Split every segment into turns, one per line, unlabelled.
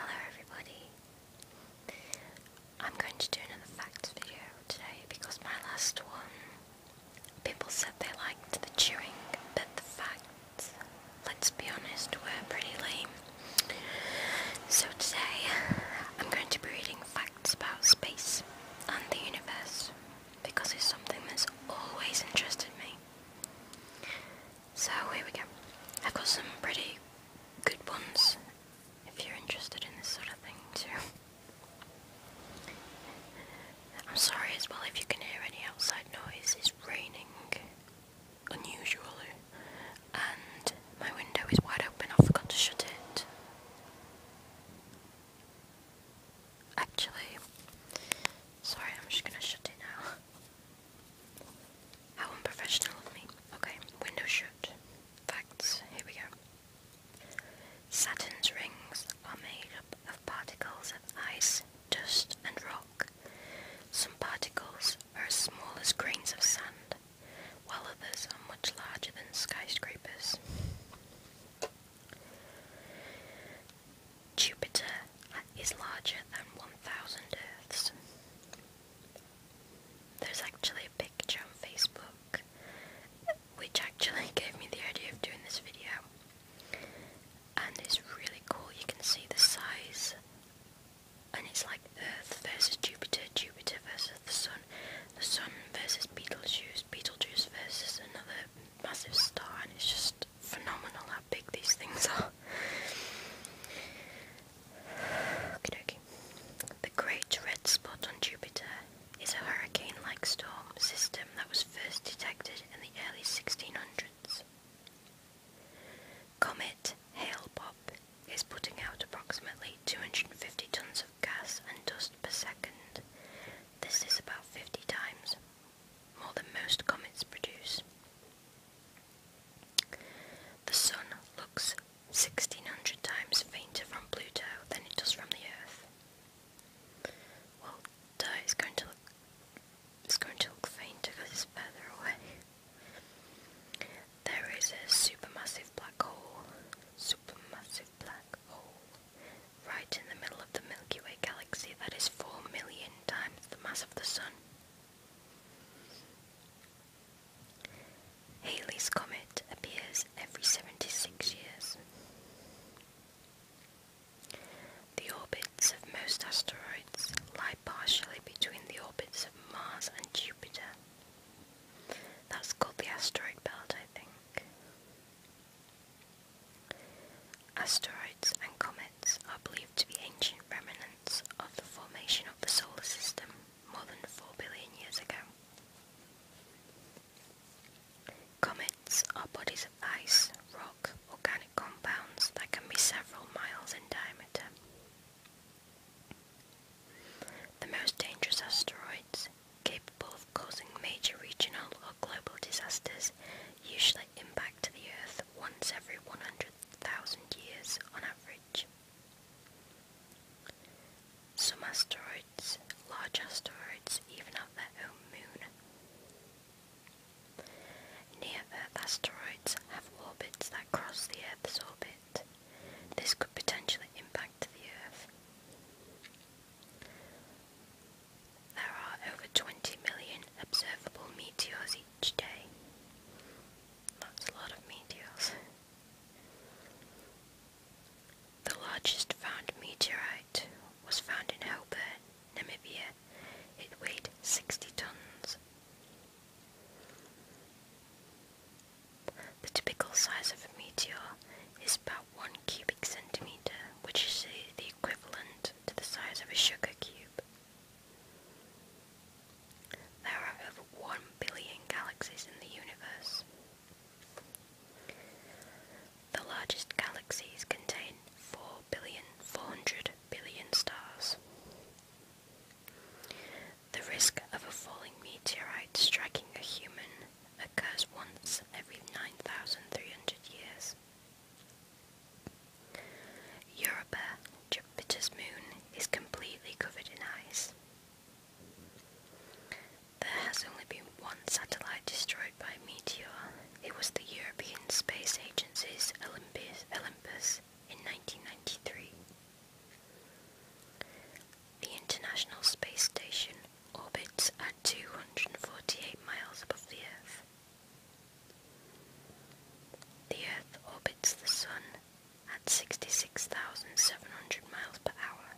Hello everybody. I'm going to do another facts video today because my last one people said they liked the chewing but the facts let's be honest were pretty lame. So today I'm going to be reading facts about space and the universe because it's something that's always interested me. So here we go. I've got some pretty good ones if you're interested in this sort of thing too. I'm sorry as well if you can hear any outside noise. It's raining unusually and my window is wide open. I forgot to shut it actually. Sorry, I'm just gonna shut it now. How unprofessional of me. Okay, window shut. Facts, here we go. Saturn's rings are made up of particles of ice, dust, and rock. Some particles are as small as grains of sand, while others are much larger than skyscrapers. Jupiter is larger than 1,000 Earths. There's actually a picture on Facebook which actually gave me the idea of doing this video. And it's really cool, you can see the size. And it's like Earth versus Jupiter, Jupiter versus the Sun. The Sun versus Beetlejuice, Beetlejuice versus another massive star, and it's just phenomenal how big these things are. Okie The Great Red Spot on Jupiter is a hurricane-like storm system that was first detected in the early 1600s. Comet Hale-Bopp is putting out approximately 250 tons of gas and dust per second. This is about 50 times more than most comets produce. The Sun looks 1600 times fainter from Pluto than it does from the Earth. Well, duh, is going to look, it's going to look fainter because it's further away. There is a supermassive black hole. Supermassive black right in the middle of the Milky Way galaxy that is 4 million times the mass of the Sun. Halley's Comet appears every 76 years. The orbits of most asteroids lie partially between the orbits of Mars and Jupiter. That's called the asteroid belt, I think. Asteroids and comets are believed to be ancient remnants of the formation of the solar system more than 4 billion years ago. Comets are bodies of ice, rock, organic compounds that can be several miles in diameter. The most dangerous asteroids capable of causing major regional or global disasters, usually impact the Earth once every 100,000 years on average. Some asteroids, large asteroids, even have their own moon. Near-Earth asteroids have orbits that cross the Earth's orbit. This could potentially impact the Earth. There are over 20 million observable meteors each day. That's a lot of meteors. The largest found meteorite was found in Hobart, Namibia. It weighed 60 tons. The typical size of a meteor is about 1 cubic centimeter, which is the equivalent to the size of a sugar cube. There are over 1 billion galaxies in the universe. The largest galaxies contain 4 billion stars. The risk of a falling meteorite striking a human occurs once every 9,300 years. Europa, Jupiter's moon, is completely covered in ice. There has only been one satellite destroyed by a meteor. It was the European Space Agency's Olympus, Olympus in 1993. The International Space Station orbits at 248 miles above the Earth. The Earth orbits the Sun at 66,700 miles per hour.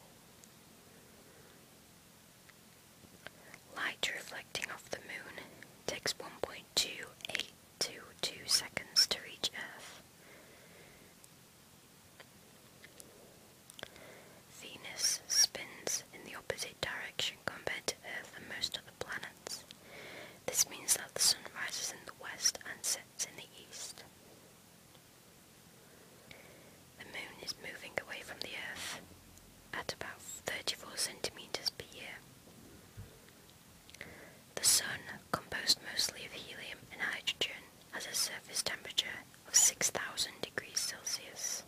Light reflecting off the Moon takes 1.2822 seconds to reach Earth. Venus spins in the opposite direction compared to Earth and most other planets. This means that the sun rises in the west and sets in the east. The moon is moving away from the Earth at about 34 centimeters per year. The sun, composed mostly of helium and hydrogen, has a surface temperature of 6,000 degrees Celsius.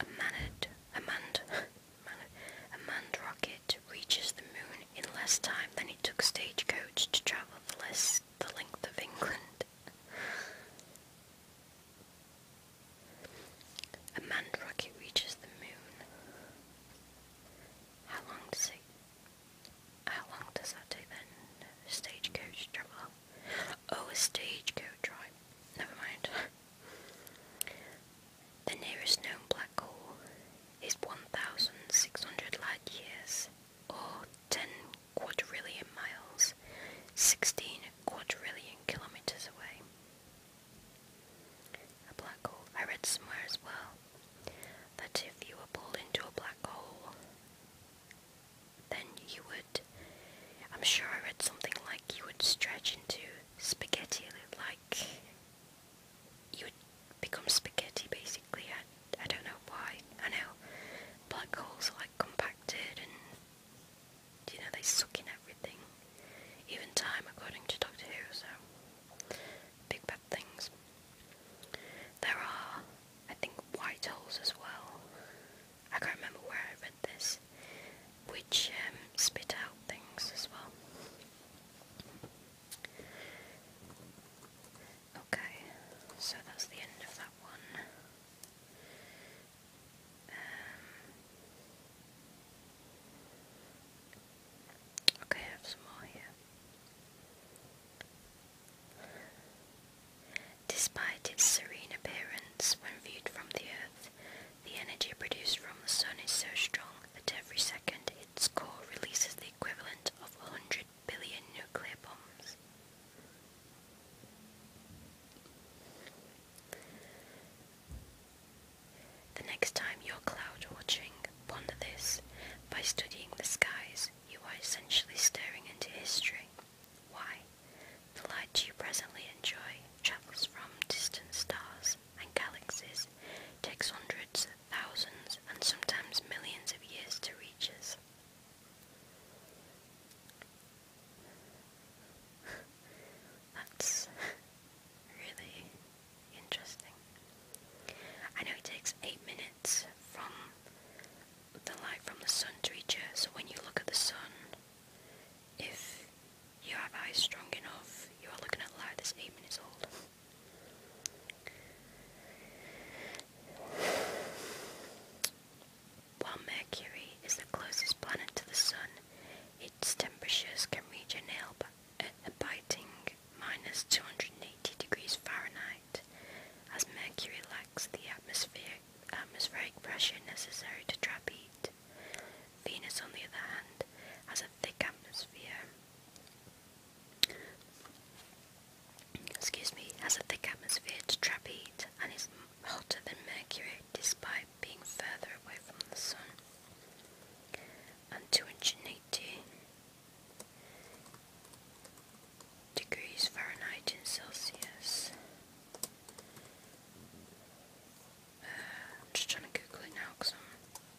A manned, a manned, a manned rocket reaches the moon in less time than it took stagecoach to travel the length of England. A manned rocket reaches the moon. How long does it? How long does that take then? Stagecoach travel? Oh, a stagecoach, right? Never mind. the nearest known black hole is 1,600 light years, or 10 quadrillion miles, 16 quadrillion kilometers away. A black hole. I read somewhere as well that if you were pulled into a black hole, then you would. I'm sure I read something like you would stretch into spaghetti, like you would become spaghetti basically. I, I don't know why. I know black holes are like compacted and you know they suck in everything, even time, according to Doctor Who. So big bad things. There are, I think, white holes as well. I can't remember where I read this, which um, spit out things as well. Okay, so that's the end of that one. Um, Despite its serene appearance when viewed from the Earth, the energy produced from the Sun is so strong that every second its core releases the equivalent of 100 billion nuclear bombs. The next time you're cloud watching, ponder this. By studying the skies, you are essentially staring into history. Why? The light you presently enjoy travels from distant stars and galaxies, takes hundreds, thousands, and sometimes millions of years to reach us. That's really interesting. I know it takes eight minutes from the light from the sun to reach Earth, so when you look at the sun, if you have eyes strong enough, you are looking at light that's eight minutes old. While Mercury is the closest planet to the Sun, its temperatures can reach an nail biting minus 280 degrees Fahrenheit, as mercury lacks the atmospheric, atmospheric pressure necessary to trap heat. Venus, on the other hand, has a thick atmosphere. Excuse me, has a thick atmosphere to trap heat and is hotter than Mercury despite being further away from the Sun and 280 degrees Fahrenheit in Celsius. Uh, I'm just trying to Google it now because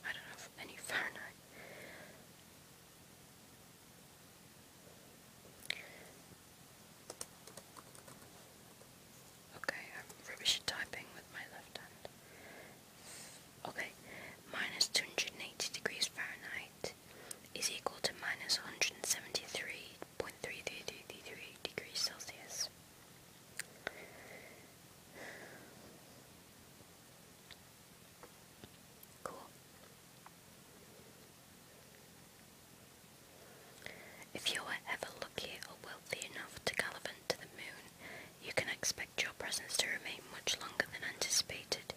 I don't have any Fahrenheit. Okay, I'm rubbish at typing with my left hand. Okay, minus 280 degrees Fahrenheit is equal to minus 173.3333 degrees Celsius. Cool. If you were ever lucky or wealthy enough to galvanize to the moon, you can expect your presence to remain much longer than anticipated.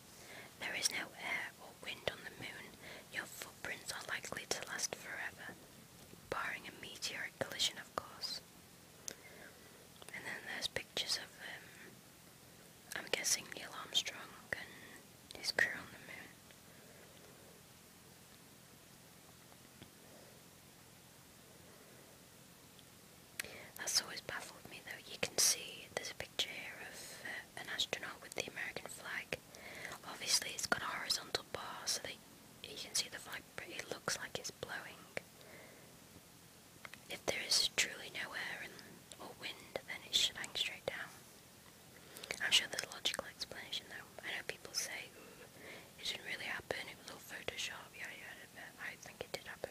There is no air or wind on the moon. Your footprints are likely to last forever, barring a meteoric collision, of course. And then there's pictures of, um, I'm guessing Neil Armstrong and his crew on the moon. That's always baffled me though. You can see there's a picture here of uh, an astronaut with the American flag. Obviously it's got a horizontal bar so that you can see the flag but it looks like it's blowing. If there is truly no air or wind then it should hang straight down. I'm sure there's a logical explanation though. I know people say, it didn't really happen, it was all Photoshop, yeah, Yeah. I think it did happen.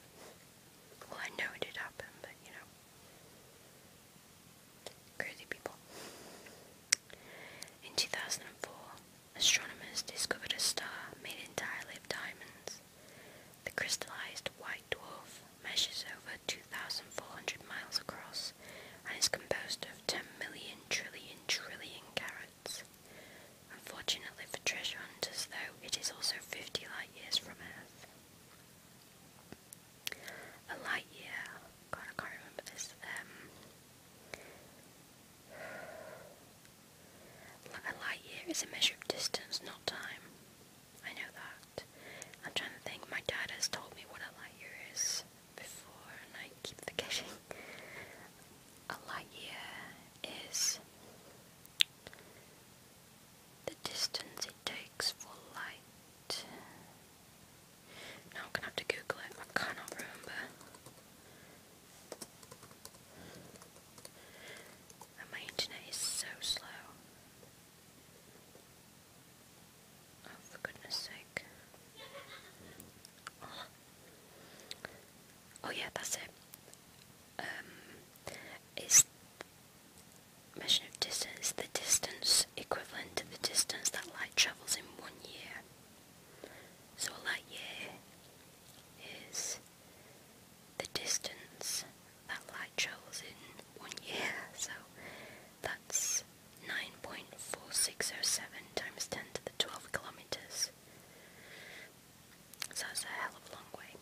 Well, I know it did happen, but you know. Crazy people. In 2004, astronomers discovered a star made entirely of diamonds. The crystallized white dwarf measures over 2,400 miles across and is composed of 10 million trillion trillion carats. Unfortunately for treasure hunters, though, it is also 50 light years from Earth. A light year, God, I can't remember this. Um, a light year is a measure of distance, not time. I know that. I'm trying to think. My dad has told me what a light year is before, and I keep forgetting a light year is the distance it takes for light. Now I'm gonna have to Google it, I cannot remember. my internet is so slow. Oh, for goodness sake. oh yeah, that's it. Um, is measure of distance, the distance equivalent to the distance that light travels in one year. So a light year is the distance that light travels in one year. So that's 9.4607 times 10 to the 12 kilometers. So it's a hell of a long way.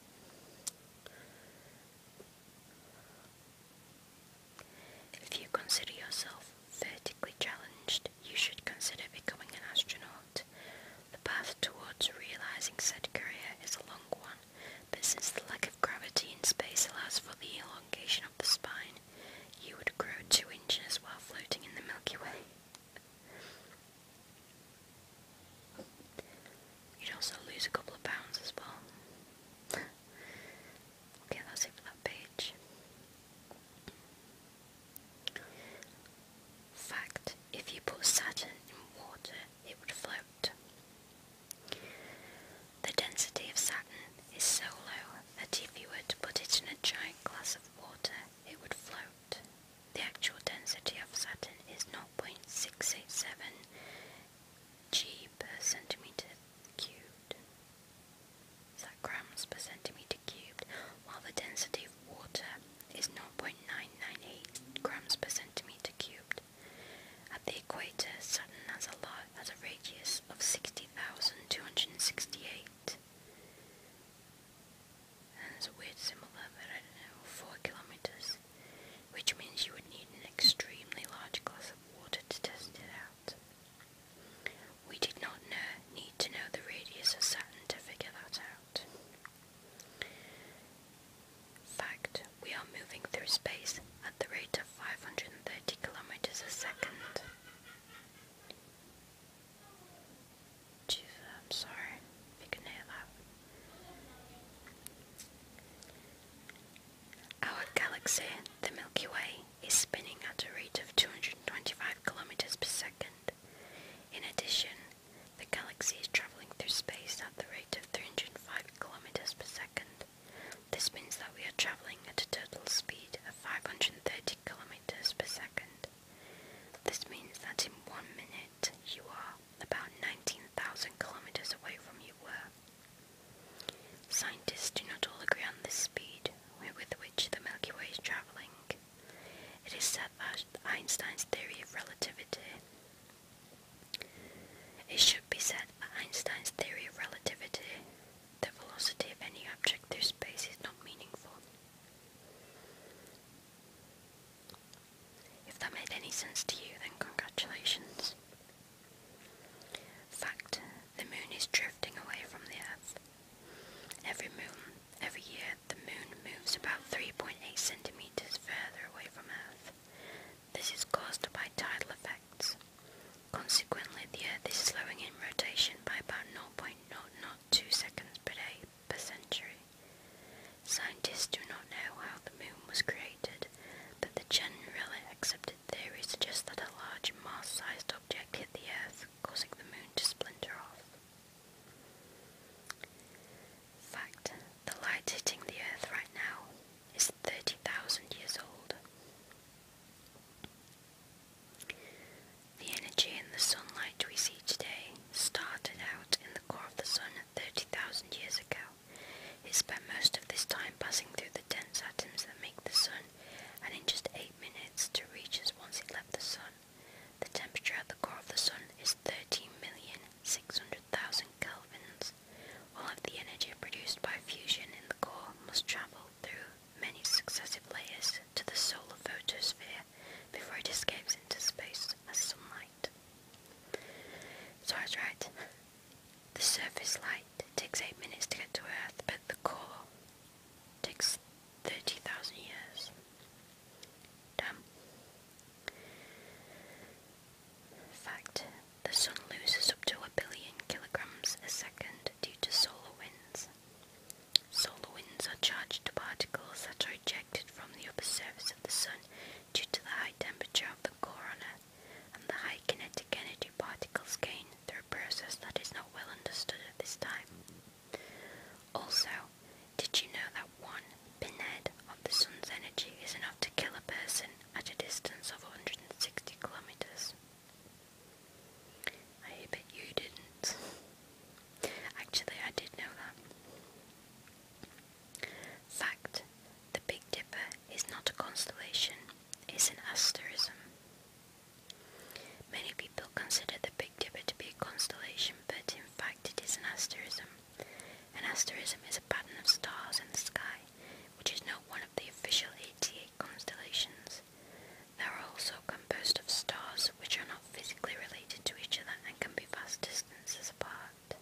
If you consider yourself vertically challenged, you should consider becoming an astronaut. The path towards realizing said career is a long one, but since the lack of gravity in space allows for the elongation of the spine, you would grow two inches while floating in the Milky Way. You'd also lose a couple of pounds as well. okay, that's it for that page. Fact, if you put Saturn in water, it would float. The density of Saturn is so low that if you were to put it in a giant glass of water, it would float. The actual density of Saturn is 0.687 g per centimeter cubed. Is that grams per centimeter cubed? While the density of water is 0.998 grams per centimeter cubed. At the equator, Saturn has a, lot, has a radius of 60,268 and a weird symbol but I don't know, 4 kilometers, which means you would need an extremely large glass of water to test it out. We did not know, need to know the radius of Saturn to figure that out. Fact, we are moving through space at the rate of 530 kilometers a second. I'm sorry if you can hear Our galaxy, the Milky Way, is spinning at a rate of 225 kilometers per second. In addition, the galaxy is traveling through space at the rate of 305 kilometers per second. This means that we are traveling at a total speed of 530 kilometers per second. This means that in one minute you are about 19,000 kilometers away from your work. Scientists do not all agree on the speed with which the Milky Way is traveling. It is said that Einstein's theory of relativity. It should be said that Einstein's theory of relativity, the velocity of any object through space, is not meaningful. If that made any sense to you, then congratulations. Fact, the moon is drifting away from the Earth. Every moon, every year, the moon moves about 3.8 centimeters further away from Earth. This is caused by tidal effects. Consequently, the Earth is slowing in rotation by about 0.002 seconds per day per century. Scientists do not know how the moon was created, but the generally accepted theory suggests that a large mass sized object hit the Earth, causing the moon to splinter off. Fact, the light hitting the Earth right now is 30,000 years old. The energy in the sunlight we see today started out in the core of the sun 30,000 years ago. It spent most of this time passing through the dense atoms that make the sun, and in just 8 minutes to reach us once it left the sun. The temperature at the core of the sun is 13,600,000 kelvins. All of the energy produced by fusion in the core must travel through many successive layers to the solar photosphere before it escapes into space as sunlight. So I was right. The surface light takes 8 minutes to get to Earth, but the core takes 30,000 years. Damn. Fact, the sun loses up to a billion kilograms a second due to solar winds. Solar winds are charged particles that are ejected from the upper surface of the Sun due to the high temperature of the corona, and the high kinetic energy particles gain through a process that is not well understood at this time. Also, did you know that one pinhead of the Sun's energy is enough to kill a person at a distance of 160 kilometers? I bet you didn't. Actually, I did know that. Fact The Big Dipper is not a constellation, it's an asterism. Many people consider the Big Dipper to be a constellation, but in fact, it is an asterism. An asterism is a pattern of stars in the sky, which is not one of the official 88 constellations. They are also composed of stars which are not physically related to each other and can be vast distances apart.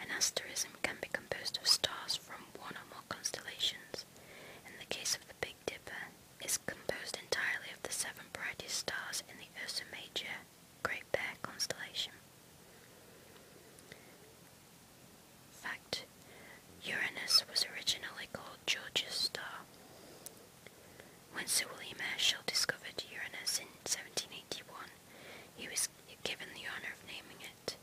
An asterism can be composed of stars from one or more constellations. In the case of the Big Dipper, is composed entirely of the seven brightest stars in the Ursa Major Great Bear constellation. Fact Uranus was originally called George's star. When Sir William Herschel discovered Uranus in 1781, he was given the honour of naming it.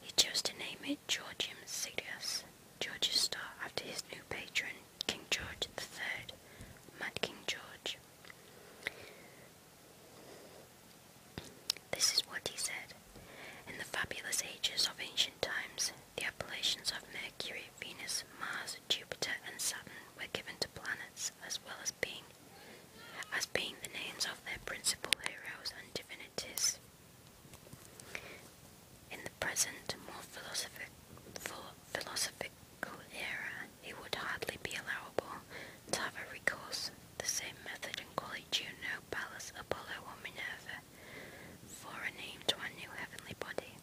He chose to name it Georgium Sidus, George's star, after his new patron, King George III, Mad King George. This is what he said. In the fabulous ages of ancient times, the appellations of Mercury, Venus, Mars, Jupiter, and Saturn were given to planets as well as being as being the names of their principal heroes and divinities. In the present, more philosophic, philosophical era, it would hardly be allowable to have recourse to the same method and call it Juno, Pallas, Apollo, or Minerva for a name to our new heavenly body.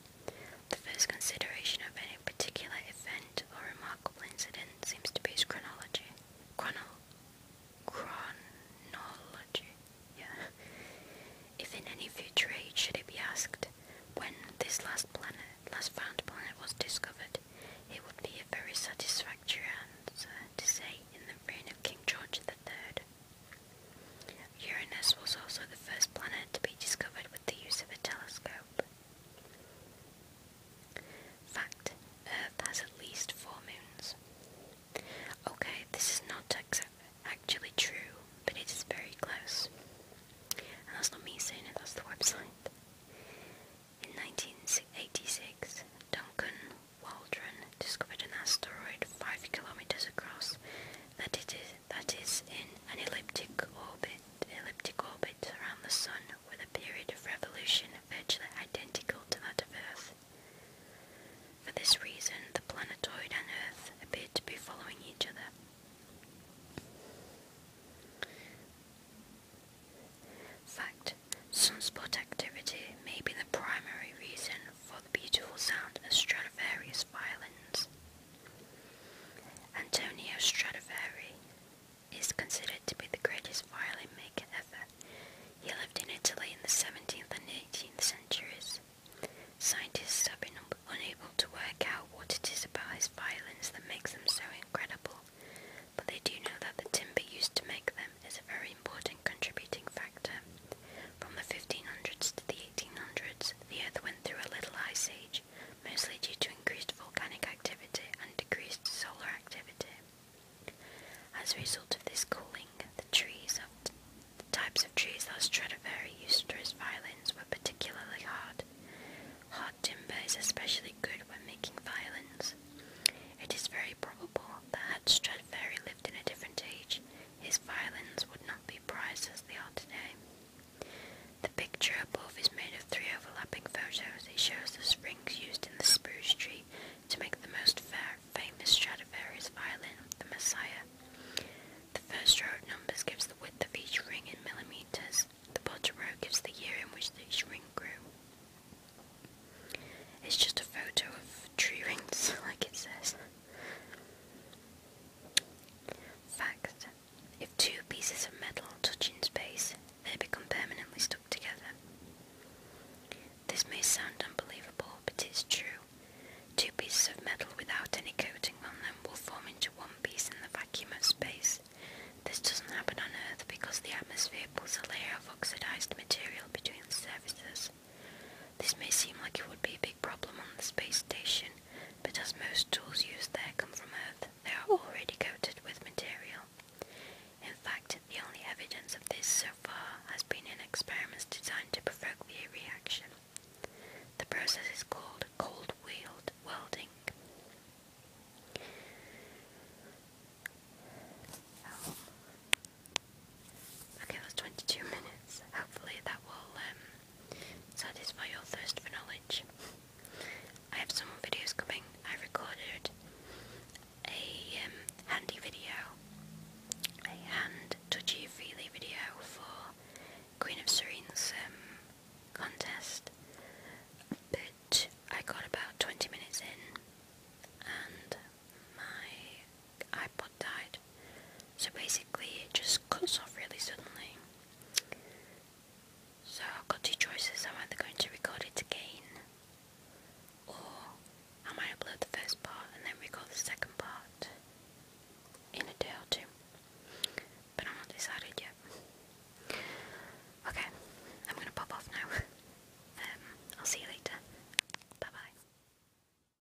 The first consideration of any particular event or remarkable incident seems to be its chronology. Chrono chronology. Yeah. If in any future age should it be asked when this last planet, last found planet was discovered, it would be a very satisfactory answer to say in the reign of King George the Third. Uranus was also the first planet to be discovered with the use of a telescope. Fact, Earth has at least four moons. Okay, this is not actually true, but it is very close. that's not me saying it, that's the website. In 1986, Duncan Waldron discovered an asteroid 5 kilometers across that it is that is in an elliptic orbit elliptic orbit around the Sun with a period of revolution virtually identical to that of Earth. For this reason, the planetoid and Earth appear to be following each other. Fact Sunspot activity may be the primary reason for the beautiful sound of Stradivarius violins. Antonio Stradivari is considered to be the greatest violin maker ever. He lived in Italy in the 17th and 18th centuries. Scientists have been unable to work out what it is about his violins that makes them so incredible, but they do know that the timber used to make them is a very important contributing factor. From the 1500s to the 1800s, the Earth went through a little ice age, mostly due to increased volcanic activity and decreased solar activity. As a result of this cooling, the types of trees that Stradivari used to his violins were particularly hard. Hard timber is especially good when making violins. It is very probable that Stradivari lived in a different age, his violins would not be prized as they are today. The picture above is made of three overlapping photos. It shows the strings used in the spruce tree to make the most famous Stradivarius violin, the Messiah. The first row of numbers gives the width of each ring in millimeters. The bottom row gives the year in which each ring grew. It's just a photo of tree rings, like it says. Fact. If two pieces of metal touch in space, they become permanently stuck together. This may sound unbelievable, but it's true. Two pieces of metal without any coating on them will form into one piece in the vacuum of space. This doesn't happen on Earth because the atmosphere pulls a layer of oxidized material between the surfaces. This may seem like it would be big problem on the space station, but as most tools used there come from Earth, they are already coated with material. In fact, the only evidence of this so far has been in experiments designed to provoke the reaction. The process is called cold wheeled welding. Okay, that's 22 minutes. Hopefully that will um, satisfy your thirst for knowledge. I have some videos coming. I recorded a um, handy video, a hand touchy feely video for Queen of Serene's um, contest, but I got about 20 minutes in and my iPod died. So basically, it just cuts off really suddenly. So I've got two choices. am either going to record it again, or I upload the first part and then record the second part in a day or two. But I'm not decided yet. Okay, I'm gonna pop off now. Um, I'll see you later. Bye bye.